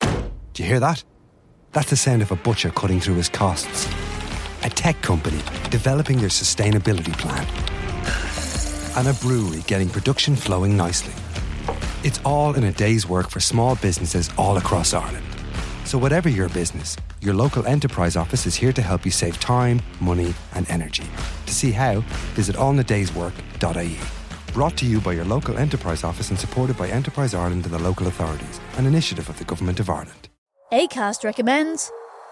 Do you hear that? That's the sound of a butcher cutting through his costs. A tech company developing their sustainability plan. And a brewery getting production flowing nicely. It's all in a day's work for small businesses all across Ireland. So, whatever your business, your local enterprise office is here to help you save time, money, and energy. To see how, visit allnadayswork.ie. Brought to you by your local enterprise office and supported by Enterprise Ireland and the local authorities, an initiative of the Government of Ireland. ACAST recommends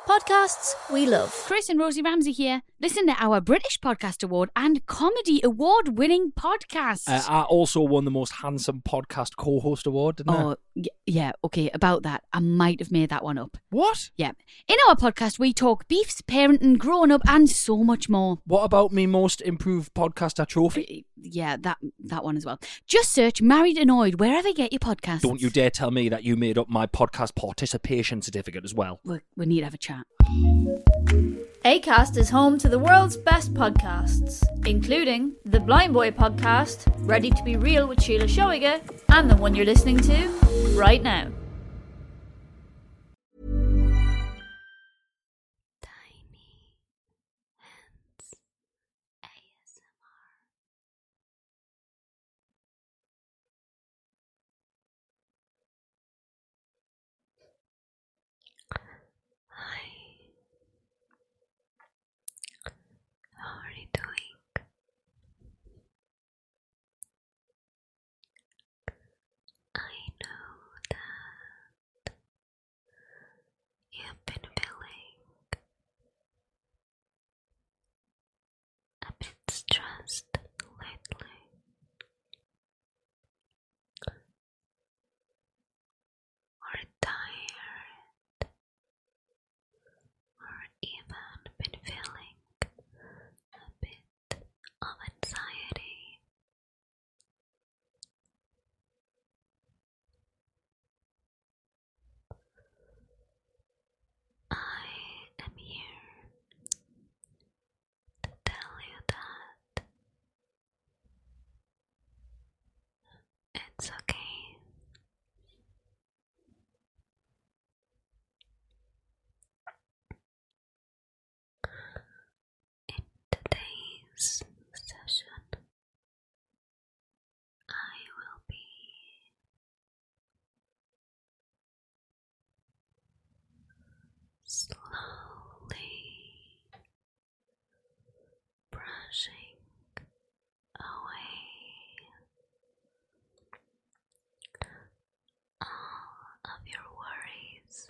podcasts we love. Chris and Rosie Ramsey here. Listen to our British Podcast Award and Comedy Award winning podcast. Uh, I also won the Most Handsome Podcast Co host award, didn't oh, yeah, okay, about that. I might have made that one up. What? Yeah. In our podcast, we talk beefs, parenting, growing up, and so much more. What about me most improved? you podcast our trophy. Yeah, that that one as well. Just search Married Annoyed wherever you get your podcast. Don't you dare tell me that you made up my podcast participation certificate as well. We, we need to have a chat. ACAST is home to the world's best podcasts, including the Blind Boy podcast, Ready to Be Real with Sheila Shoiger, and the one you're listening to right now. Tiny Hands ASMR. Hi, how are you doing? I know that you've been feeling a bit stressed lately. Or tired, or even been feeling a bit of anxiety I am here to tell you that it's okay. In today's session, I will be slowly brushing away all of your worries.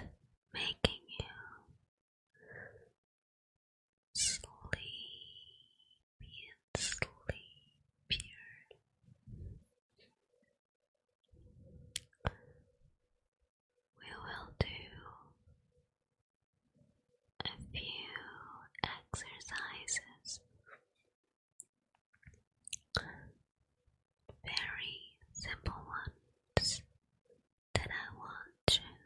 And making you sleepy and We will do a few exercises very simple ones that I want you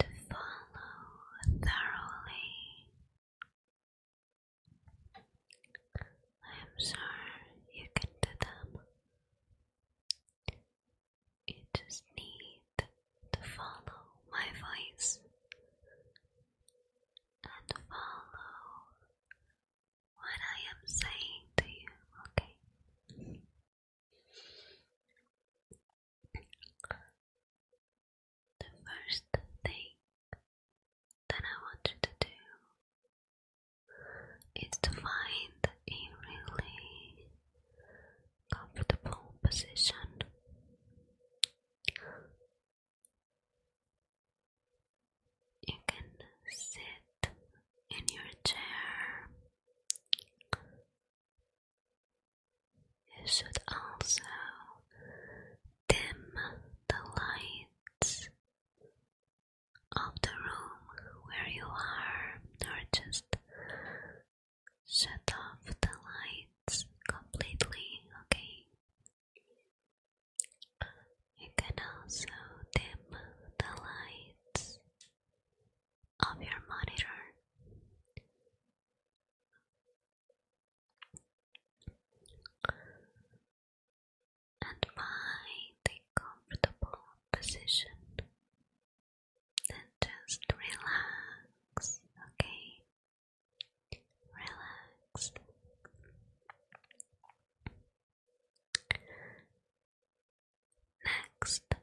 to follow thoroughly. I am sure you can do them. You just need to follow my voice and follow what I am saying to you, okay? The first thing that I want you to do is to find a really comfortable position. You can sit in your chair. You should also dim the lights of the room where you are, or just Shut off the lights completely, okay? You can also dim the lights of your monitor. And find a comfortable position then just relax, okay? Relax. Next,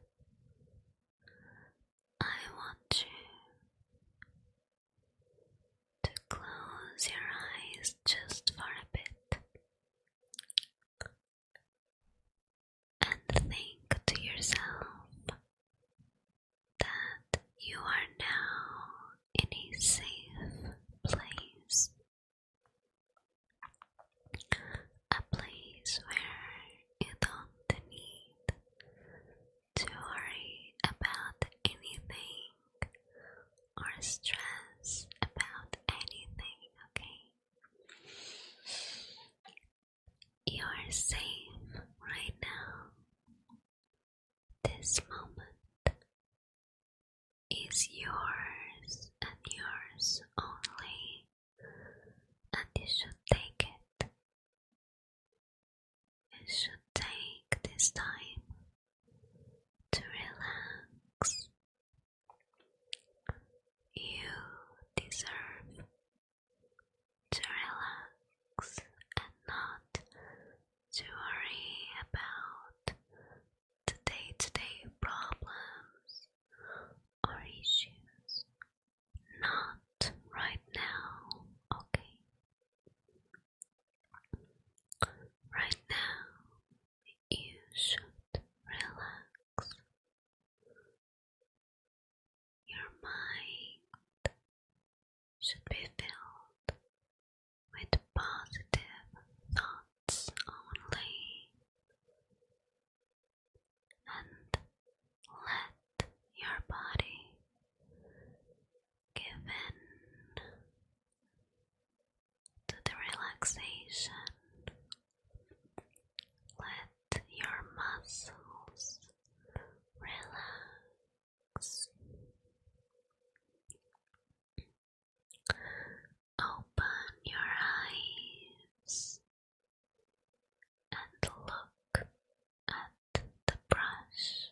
I want you to close your eyes just for a bit and think to yourself that you are now in a safe place, a place where you don't need to worry about anything or stress about anything, okay? You are safe right now. This moment is yours and yours only, and you should take it. You should take this time to relax. You deserve to relax and not to worry about the day to day problems or issues. Not right now, okay? Right now, you should relax. Your mind should be filled with positive thoughts only, and let your body give in to the relaxation let your muscles relax. Open your eyes and look at the brush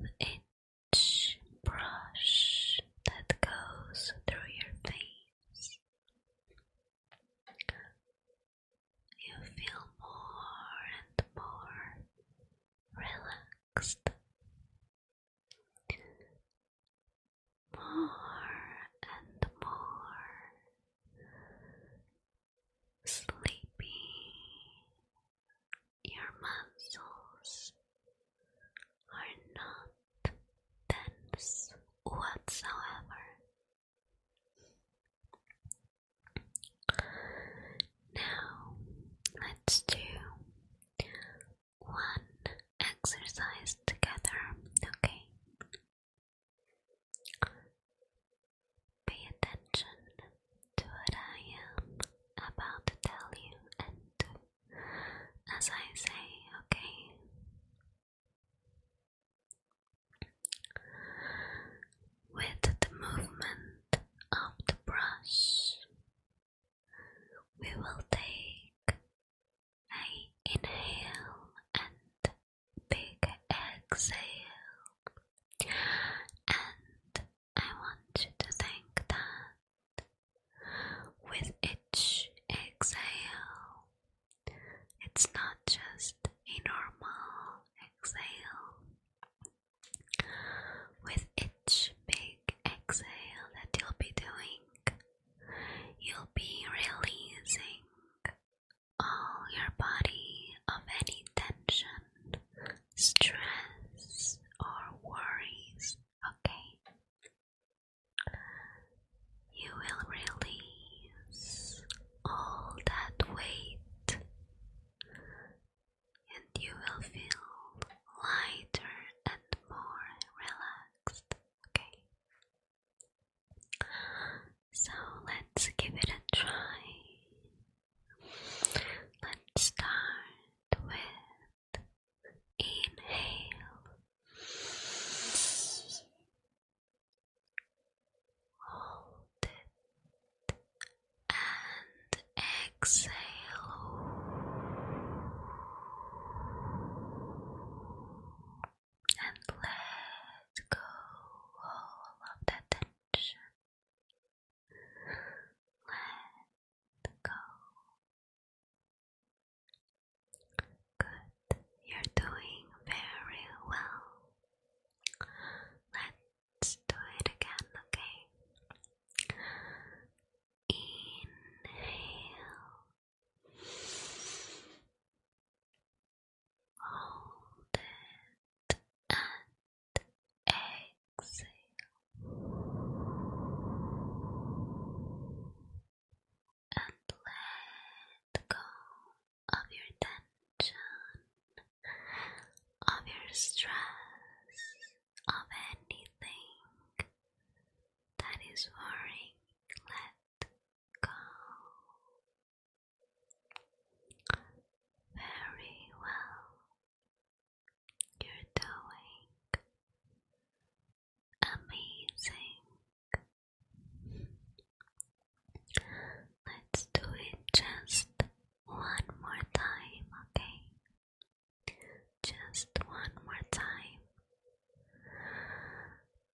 with each brush that goes through your veins. You feel more and more relaxed, more and more sleepy. Your muscles are not tense whatsoever. Now, let's do one exercise together, okay? Pay attention to what I am about to tell you and as I say, okay? With the movement of the brush, we will take a inhale and big exhale, and I want to think that with each exhale, it's not just a normal exhale. With each big exhale that you'll be doing, you'll be releasing all your body of any tension, stress, or worries. Okay, you will release all that weight and you will feel lighter and more relaxed. Okay. So let's give it a try. Let's start with Inhale. Hold it and exhale. And let go all of that tension go. Good, you're doing very well. Let's do it again, okay? Inhale. Hold it and exhale. And let go of your tension, of your stress, of anything that is worrying. Let go. Very well. You're doing amazing. Let's do it just one more time, okay? Just one more time.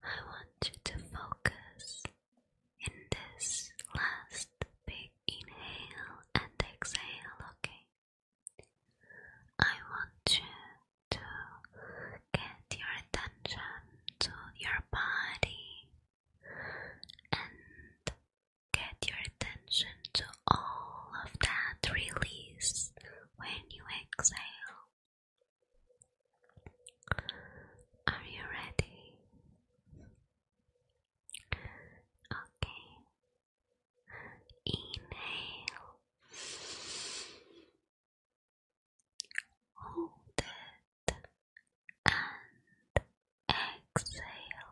I want you to focus in this last big inhale and exhale, okay? I want you to get your attention to your body and get your attention to all of that release when you exhale. Are you ready? Okay, Inhale. Hold it and exhale.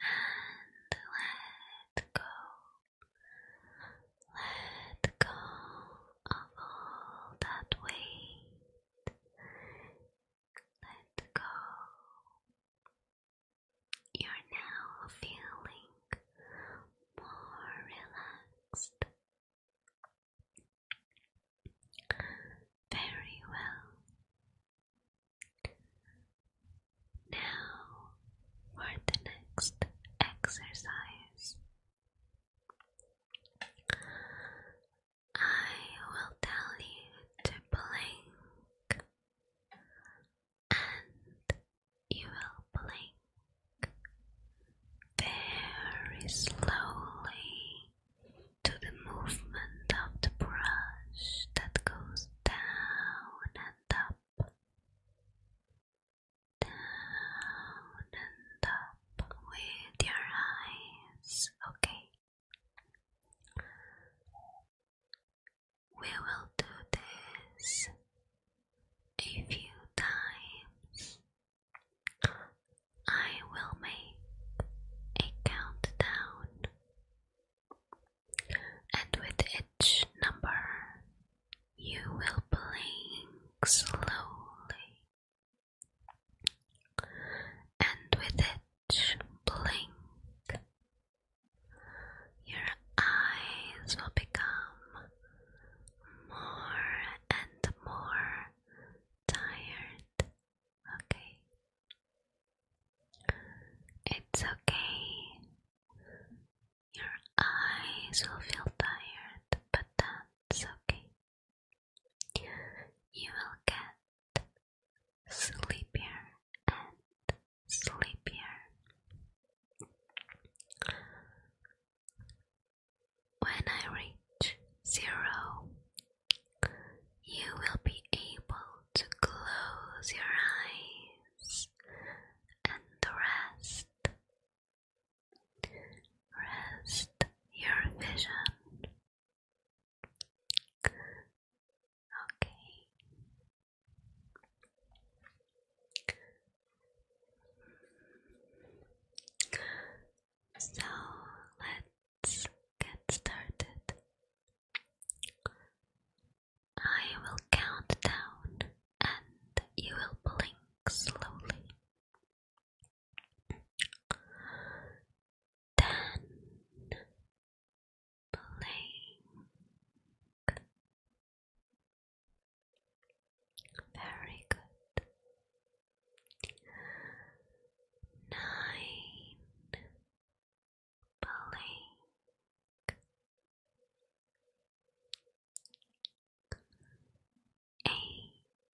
And let go. Let go of all that weight. Let go. You're now feeling more relaxed. Very well. Now for the next exercise. I will tell you to blink, and you will blink very slowly to the movement of the brush that goes down and up, down and up with your eyes, okay? We will do this a few times. I will make a countdown, and with each number, you will blink slowly and with it blink, your eyes will become more and more tired. Okay, it's okay. Your eyes will feel tired, but that's okay. You will get sleepier and sleepier. When I reach zero, you will be able to close your eyes and rest. Rest your vision Okay. So let's get started. I will count down and you will blink slowly. Then blink. Very good. Nine. Blink. Eight.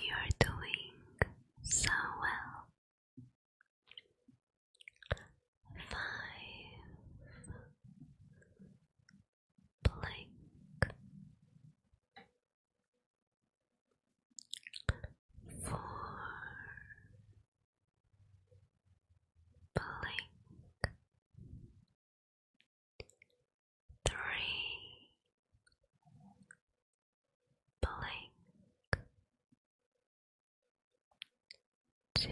You're doing so well. Five blink four blink three, blink, two,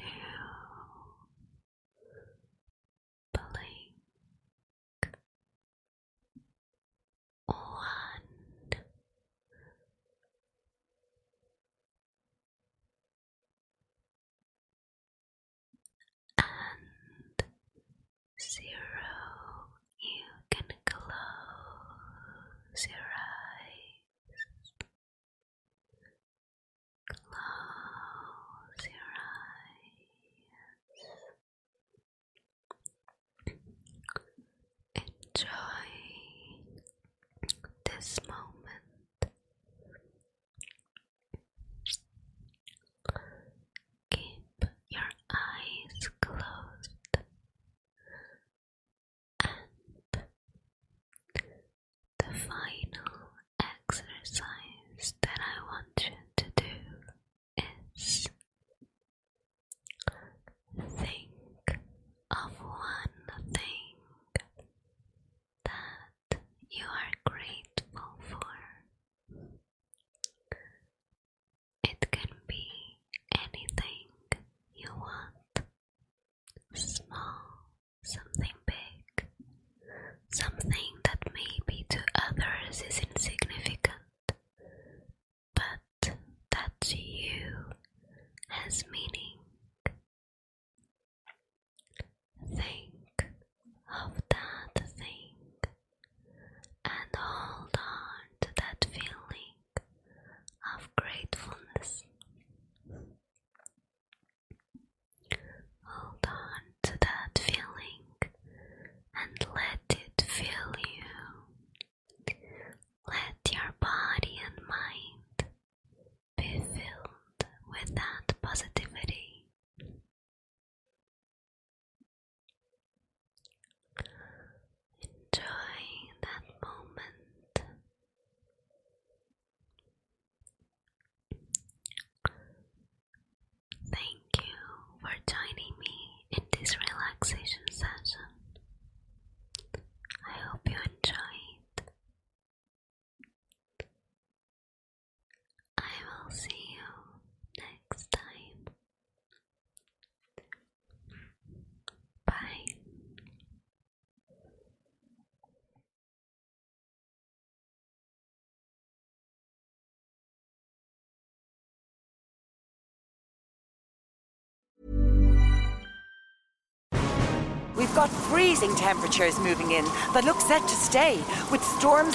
blink, one. And zero, you can close your eyes. Close your eyes. Enjoy this moment keep your eyes closed and the final exercise that I want you to do is think of one thing that you are grateful for it can be anything you want small, something big, something that may be to others is insignificant, but that to you has meaning. Think of that thing and hold on to that feeling of gratefulness. Hold on to that feeling and let it fill you. Let your body and mind be filled with that positivity. Enjoy that moment. Thank you for joining me in this relaxation session. I hope you enjoy it. I will see you next time. Bye. We've got freezing temperatures moving in that look set to stay with storms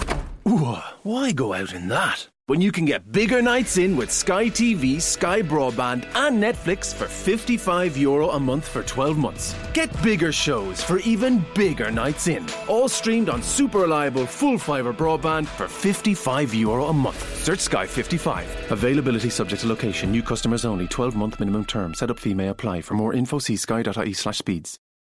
why go out in that? When you can get bigger nights in with Sky TV, Sky Broadband, and Netflix for €55 Euro a month for 12 months. Get bigger shows for even bigger nights in. All streamed on super reliable full fibre broadband for €55 Euro a month. Search Sky 55. Availability subject to location. New customers only. 12 month minimum term. Setup fee may apply. For more info, see sky.ie slash speeds.